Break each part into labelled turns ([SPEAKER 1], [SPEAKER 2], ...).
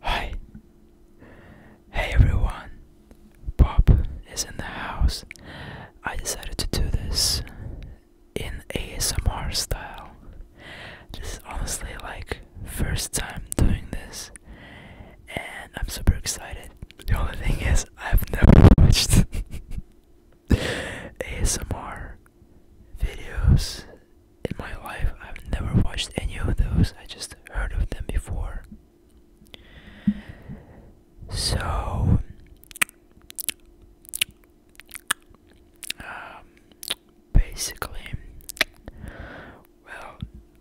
[SPEAKER 1] Hi. Hey everyone. Bob is in the house. I decided to do this in ASMR style. This is honestly like first time doing this and I'm super excited. The only thing is I've never watched ASMR videos in my life. I've never watched any of those. I just heard of them before. So um, basically, well,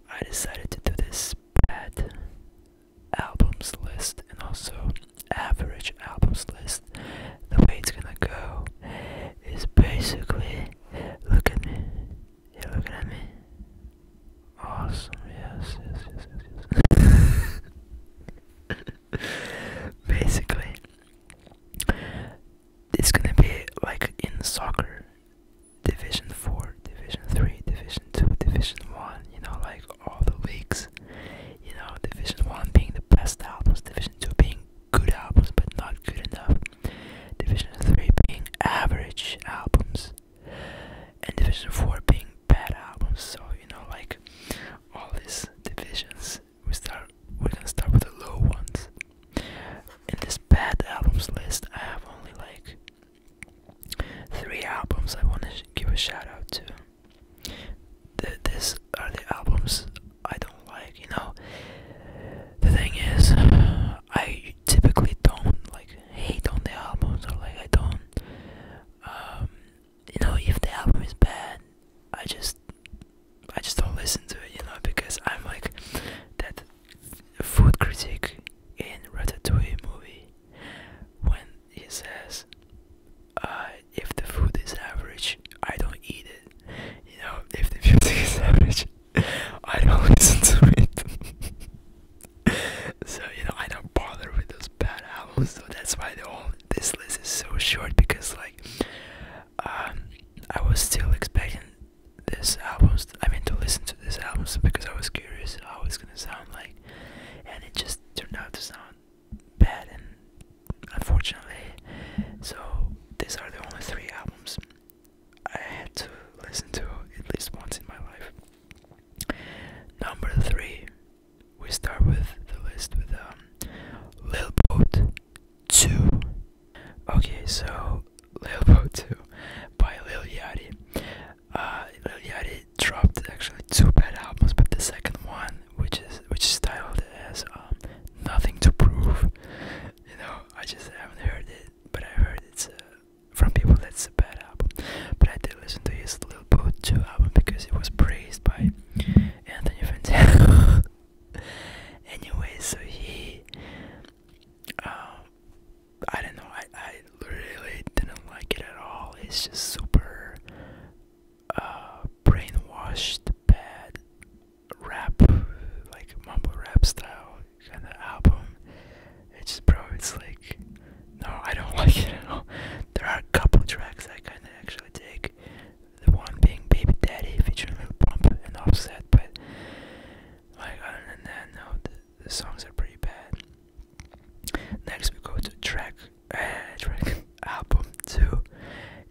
[SPEAKER 1] I decided to do this bad albums list and also average albums list. The way it's gonna go is basically Look at me. You're looking at me. Awesome. Yes, yes, yes, yes, yes. Basically, it's gonna be like in soccer Division 4, Division 3, Division 2, Division 1, you know, like all the leagues. You know, Division 1 being the best out, Division 2 being good albums but not good enough. Division 3 being average albums. And Division 4 being bad albums. So, you know, like all these divisions, we start we're gonna start with the low ones. In this bad albums list, I have only like three albums I want to give a shout out to th these are the albums I don't like. You know, the thing is, I typically don't like hate on the albums or like I don't. Um, you know, if the album is bad, I just I just don't listen to it. You know, because I'm like that food critic in Ratatouille movie when he says, "I if the food is average, I don't eat it. You know, if the music is average, I don't listen to it. so you know, I don't bother with those bad albums. So that's why the whole this list is so short because like, um, I was still expecting this albums. I mean, to listen to this albums because I was curious how it's gonna sound like, and it just turned out to sound bad and unfortunately so these are the only three albums I had to listen to at least once in my life. Number three, we start with the list with um, Lil Boat 2. Okay, so Lil Boat 2 by Lil Yachty. Uh, Lil Yachty dropped actually two bad albums, but the second one, which is which is titled as um, "Nothing to Prove." You know, I just haven't heard it, but I heard it's uh, from people that's a bad album. But I did listen to his little Boot 2 album because it was praised by Anthony Fantano. anyway, so he, um, I don't know, I I really didn't like it at all. It's just super uh, brainwashed bad rap, like mumble rap style kind of album. It's just, bro, it's like, no, I don't like it at all. There are a couple tracks I kind of actually dig. The one being Baby Daddy featuring Lil Pump and Offset, but like other than that, no, the songs are pretty bad. Next we go to track uh, album too.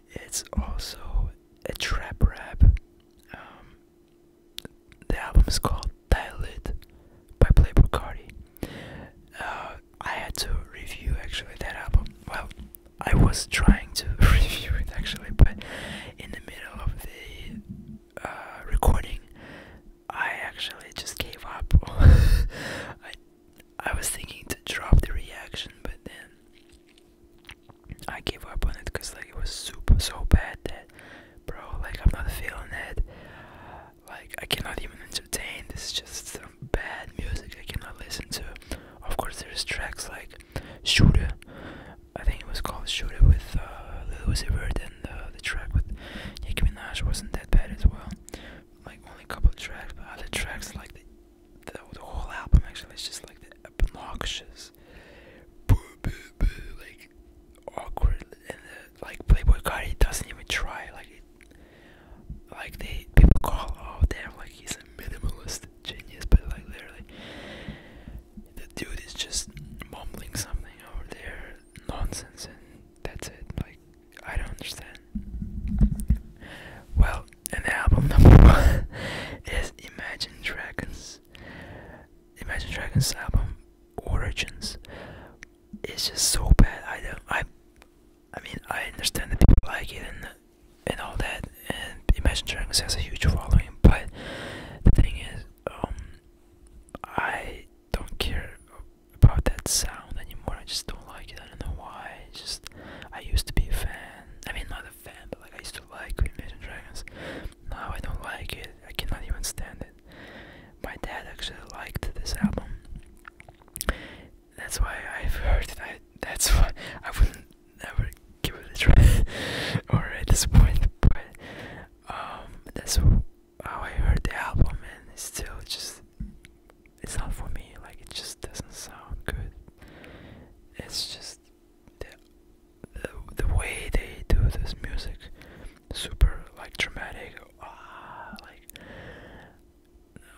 [SPEAKER 1] It's also a trap rap. Um, the album is called Dilate by Playboy Cardi. Uh, I had to review actually that album. Well, I was trying to review it actually, but in the middle of the uh, recording, I actually just gave up. I was thinking to drop the reaction, but then I gave up on it because like it was super so bad that, bro, like I'm not feeling it. Like I cannot even entertain. This is just some bad music I cannot listen to. Of course, there's tracks like Shooter. I think it was called Shooter with uh, Lil Uzi Vert, and uh, the track with Nicki Minaj wasn't that bad as well like only a couple tracks, but other tracks like the, the whole album actually is just like the obnoxious, like awkward, and the, like Playboy guy, he doesn't even try. Like like they people call, oh damn, like he's a minimalist genius, but like literally, the dude is just mumbling something over there, nonsense, and that's it. Like I don't understand. Well, and the album number one is Imagine Dragons. Imagine Dragons album Origins. It's just so bad. I don't. I. I mean, I understand that people like it and and all that. And Imagine Dragons has a huge following, but the thing is, um, I don't care about that sound anymore. I just don't like it. I don't know why. just I used to be a fan. I mean, not a fan, but like I used to like Imagine Dragons. Now I don't like it. I cannot even stand it. My dad actually liked this album. That's why I've heard it. that's why I wouldn't never give it a try or at this But um, that's how oh, I heard the album and still just it's not for me like it just doesn't sound good it's just the the, way they do this music super like dramatic ah, like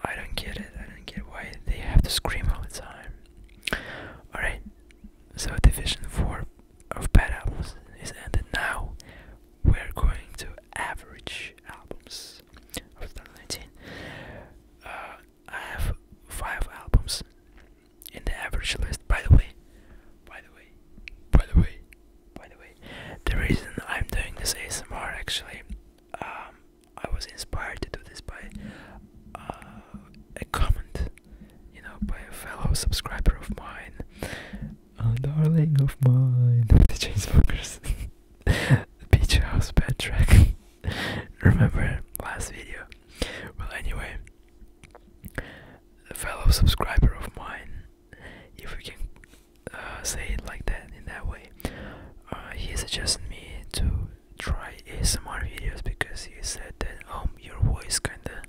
[SPEAKER 1] I don't get it I don't get why they have to scream all the time alright so division 4 of bad albums is ended now we're going to average albums of 2019. Uh, I have five albums in the average list. By the way, by the way, by the way, by the way, the reason I'm doing this ASMR actually, um, I was inspired to do this by uh, a comment, you know, by a fellow subscriber of mine. Oh, darling of mine. the Chainsmokers. Beach House Bad Track. Remember last video? Well, anyway, a fellow subscriber of mine, if we can uh, say it like that, in that way, uh, he suggested me to try ASMR videos because he said that um, your voice kinda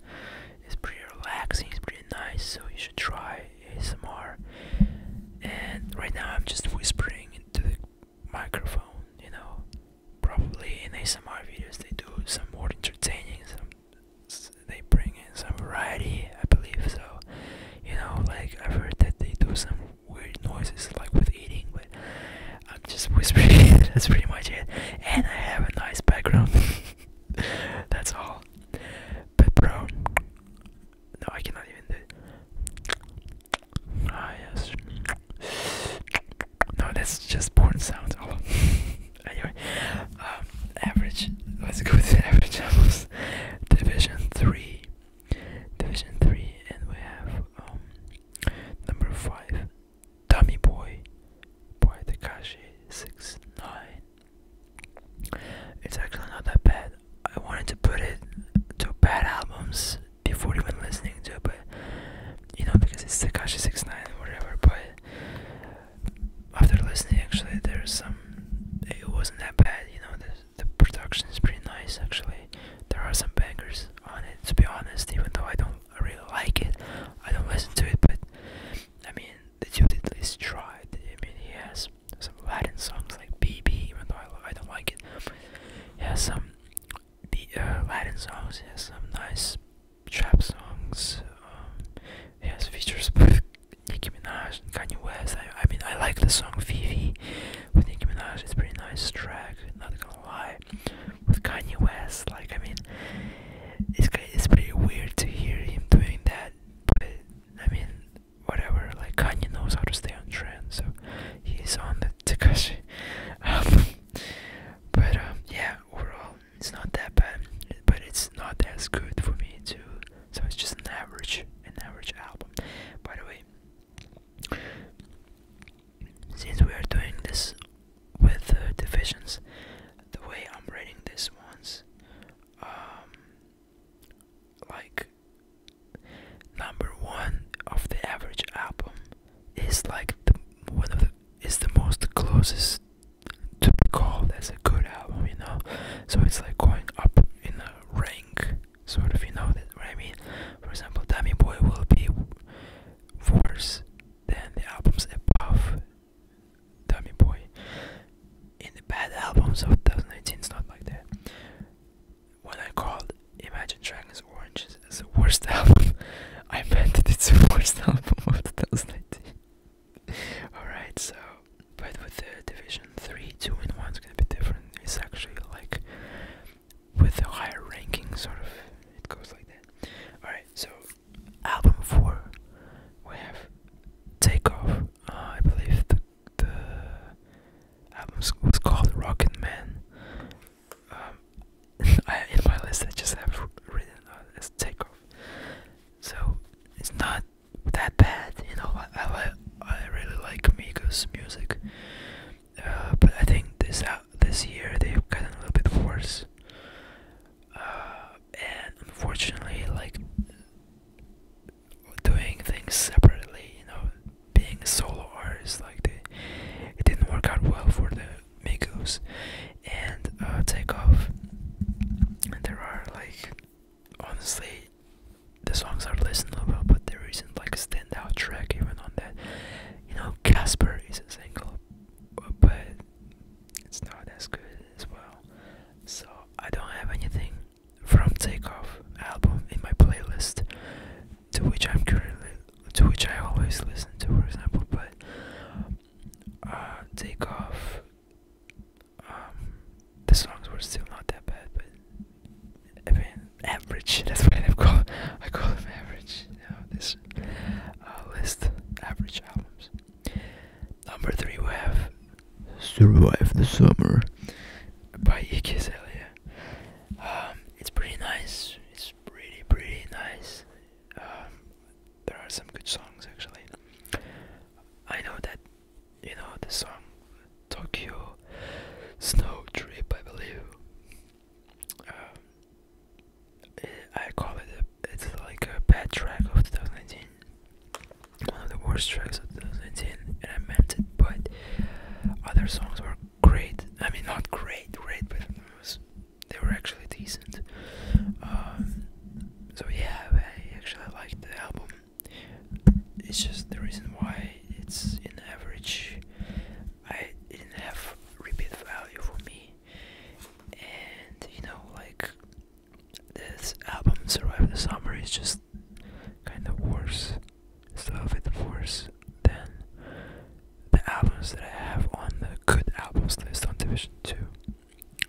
[SPEAKER 1] is pretty relaxing, it's pretty nice, so you should try ASMR, and right now I'm just whispering into the microphone. You know, probably in ASMR videos they do some more entertaining, some they bring in some variety. I believe so. You know, like I've heard that they do some weird noises like with eating, but I'm just whispering. That's pretty much it. And I have a nice background. That's all. But bro, no, I cannot even do. Ah yes. No, that's just porn sounds. Oh. anyway, um, average. Let's go to average levels. Division three. Division three, and we have um number five, Dummy Boy, Boy Takashi six nine. It's actually not that bad. I wanted to put it to bad albums before even listening to it, but you know, because it's Takashi 69 or whatever, but after listening, actually, there's some. It wasn't that bad, you know, the, the production is pretty nice, actually. There are some bangers on it, to be honest, even though I don't really like it. I don't listen to it, but I mean, the dude at least tried. I mean, he has some Latin songs like BB, even though I, I don't like it. He has some B, uh, Latin songs, he has some nice trap songs, um, he has features with Nicki Minaj and Kanye West. I, I mean, I like the song Vivi with Nicki Minaj, it's a pretty nice track, not gonna lie. With Kanye West, like, I mean, it's it's pretty weird to hear him doing that, but I mean, whatever. Like Kanye knows how to stay on trend, so he's on the Takashi. Um, but um, yeah, overall, it's not that bad, but it's not as good for me too. So it's just an average, an average album. By the way, since we are doing this with the divisions, the way I'm rating this one's, um, like number one of the average album is like the one of the is the most closest to be called as a good album, you know. So it's like going up in the rank, sort of, you know that what I mean. For example, Dummy Boy will be worse than the albums above Tommy Boy. In the bad albums of 2019, it's not like that. When I called Imagine Dragons Oranges as the worst album, I meant that it's the worst album of 2019. Alright, so, but with the division 3, 2, and 1 is gonna be different. It's actually like with the higher ranking, sort of, it goes like that. Alright, so album four we have Takeoff. Uh, I believe the, album was called Rocket Man. Um, I, in my list, I just have written uh, as Takeoff. So it's not that bad, you know. I I, I really like Migos music, uh, but I think this this year they've gotten a little bit worse. and unfortunately, like doing things separately, you know, being a solo artist, like they, it didn't work out well for the Migos and uh, Takeoff. And there are like, honestly, the songs are listened well, but there isn't like a standout track even on that. You know, Casper is a single, but it's not as good as well. So I don't have anything from Takeoff album in my playlist to which I'm currently to which I always listen to, for example. But uh, Takeoff, um, the songs were still not that bad, but I mean average. That's what I call I call them average. You this albums uh, list, average albums. Number three, we have Survive the Summer by Iggy um, it's pretty nice. It's pretty, pretty nice. Um, there are some good songs actually. I know that you know the song Tokyo Snow Trip, I believe. Um, I call it it's like a bad track of 2019, one of the worst tracks of 2019, and I meant it. But other songs were great. I mean, not great, great, but they were actually decent. Um, so yeah, I actually like the album. It's just the reason why it's in average. I didn't have repeat value for me and you know like this album survive the summer is just kind of worse it's worse than the albums that i have on the good albums list on division 2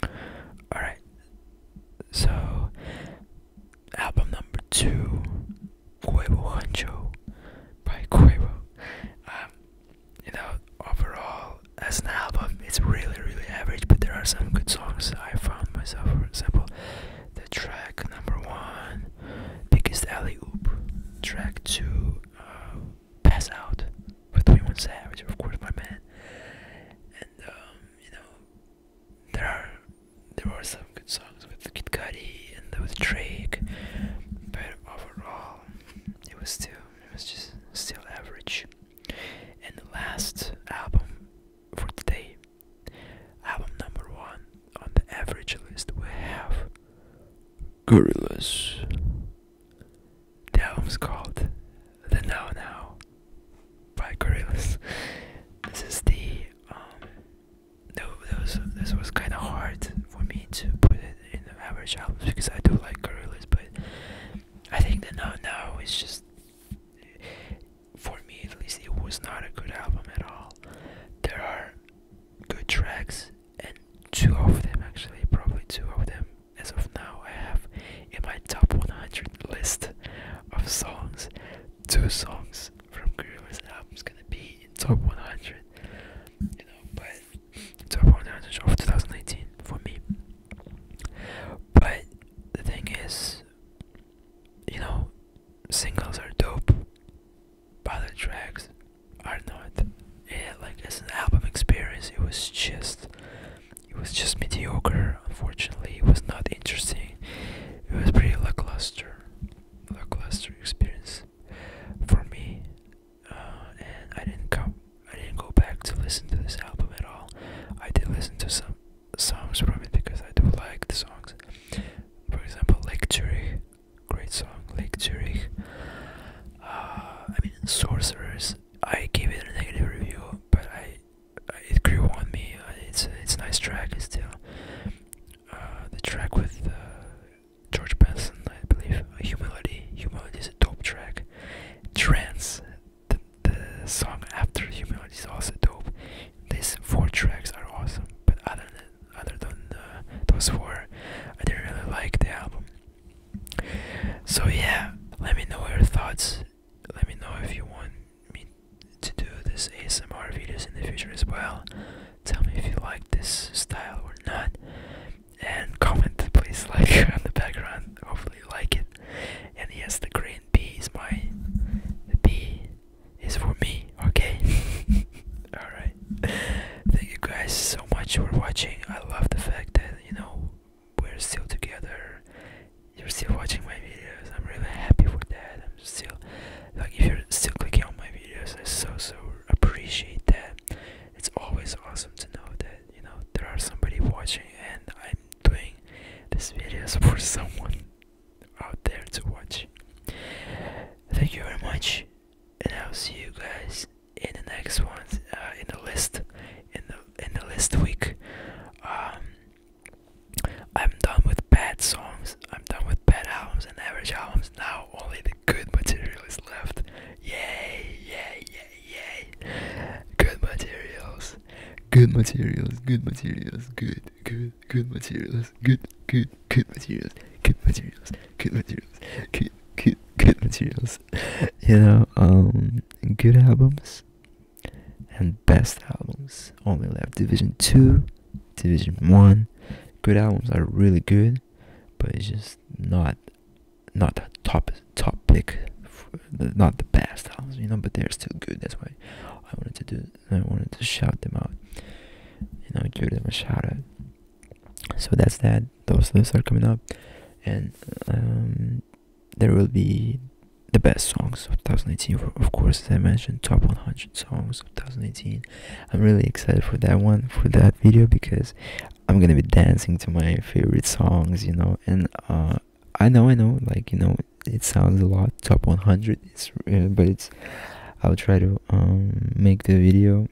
[SPEAKER 1] all right so album number 2 Cuevo Hancho by Cuevo um, you know, overall, as an album, it's really, really average, but there are some good songs I found myself. For example, the track number one, Biggest Alley Oop, track two, uh, Pass Out with 21 Savage, of course, my man. And, um, you know, there are there were some good songs with Kid Cudi and with Drake, but overall, it was still it was just still average. And the last album for today, album number one on the average list, we have Gorillaz. The album's called The Now Now by Gorillaz. This is the um, those, this was kind of hard for me to put it in the average albums because I do like Gorillaz, but I think that now now it's just for me at least it was not a good album at all. There are good tracks and two of them actually, probably two of them as of now I have in my top 100 list of songs. Two songs from Gorillaz is gonna be in top 100 top 100 of 2018 for me. But the thing is, you know, singles are dope, but the tracks are not. Yeah, like as an album experience, it was just, it was just mediocre. Unfortunately, it was not interesting. It was pretty lackluster, lackluster experience for me, uh, and I didn't come, I didn't go back to listen to this album at all. I did listen to some songs from it because I do like the songs. For example, Lake Zurich, great song, Lake Zurich. Uh, I mean, Sorcerers. I gave it a negative review, but I, it grew on me. Uh, it's a, it's a nice track. It's still the track with uh, George Benson, I believe. Humility. Humility is a dope track. Trance, the, the song after Humility is also dope. These four tracks are awesome, but other than other than uh, those four, I didn't really like the album. So yeah, let me know your thoughts. Let me know if you want me to do this ASMR videos in the future as well. Tell me if you like this style or not, and comment please like on the background. Hopefully you like it. And yes, the green B is mine. the B is for me. Okay. All right. Thank you guys so much for watching. I love the fact that you know we're still together. You're still watching my videos. I'm really happy for that. I'm still like if you're still clicking on my videos, I so so appreciate that. It's always awesome to know that you know there are somebody watching, and I'm doing this videos for someone out there to watch. Thank you very much, and I'll see you guys in the next one, uh, in the list, in the in the list week. Um, I'm done with bad songs, I'm done with bad albums and average albums. Now
[SPEAKER 2] only the good material is left. Yay, yay, yay, yay. Good materials. Good materials, good materials, good, good, good materials, good, good, good materials, good materials, good materials, good, good, good materials. You know, um, good albums and best albums only left. Division 2 Division One. Good albums are really good, but it's just not not the top top pick, not the best albums, you know. But they're still good. That's why I wanted to do. I wanted to shout them out. You know, give them a shout out. So that's that. Those lists are coming up, and um, there will be the best songs of 2018, of course, as I mentioned, top 100. Songs 2018. I'm really excited for that one, for that video, because I'm gonna be dancing to my favorite songs, you know. And uh, I know, I know, like you know, it sounds a lot. Top 100, it's, uh, but it's. I'll try to um, make the video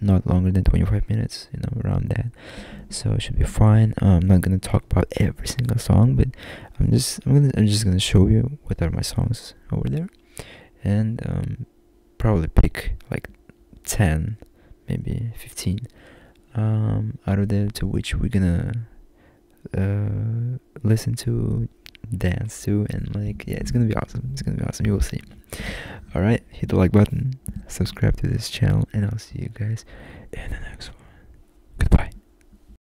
[SPEAKER 2] not longer than 25 minutes you know around that so it should be fine i'm not gonna talk about every single song but I'm just I'm gonna I'm just gonna show you what are my songs over there, and um, probably pick like ten, maybe fifteen, um, out of there to which we're gonna uh, listen to, dance to, and like yeah, it's gonna be awesome. It's gonna be awesome. You will see. All right, hit the like button, subscribe to this channel, and I'll see you guys in the next one. Goodbye.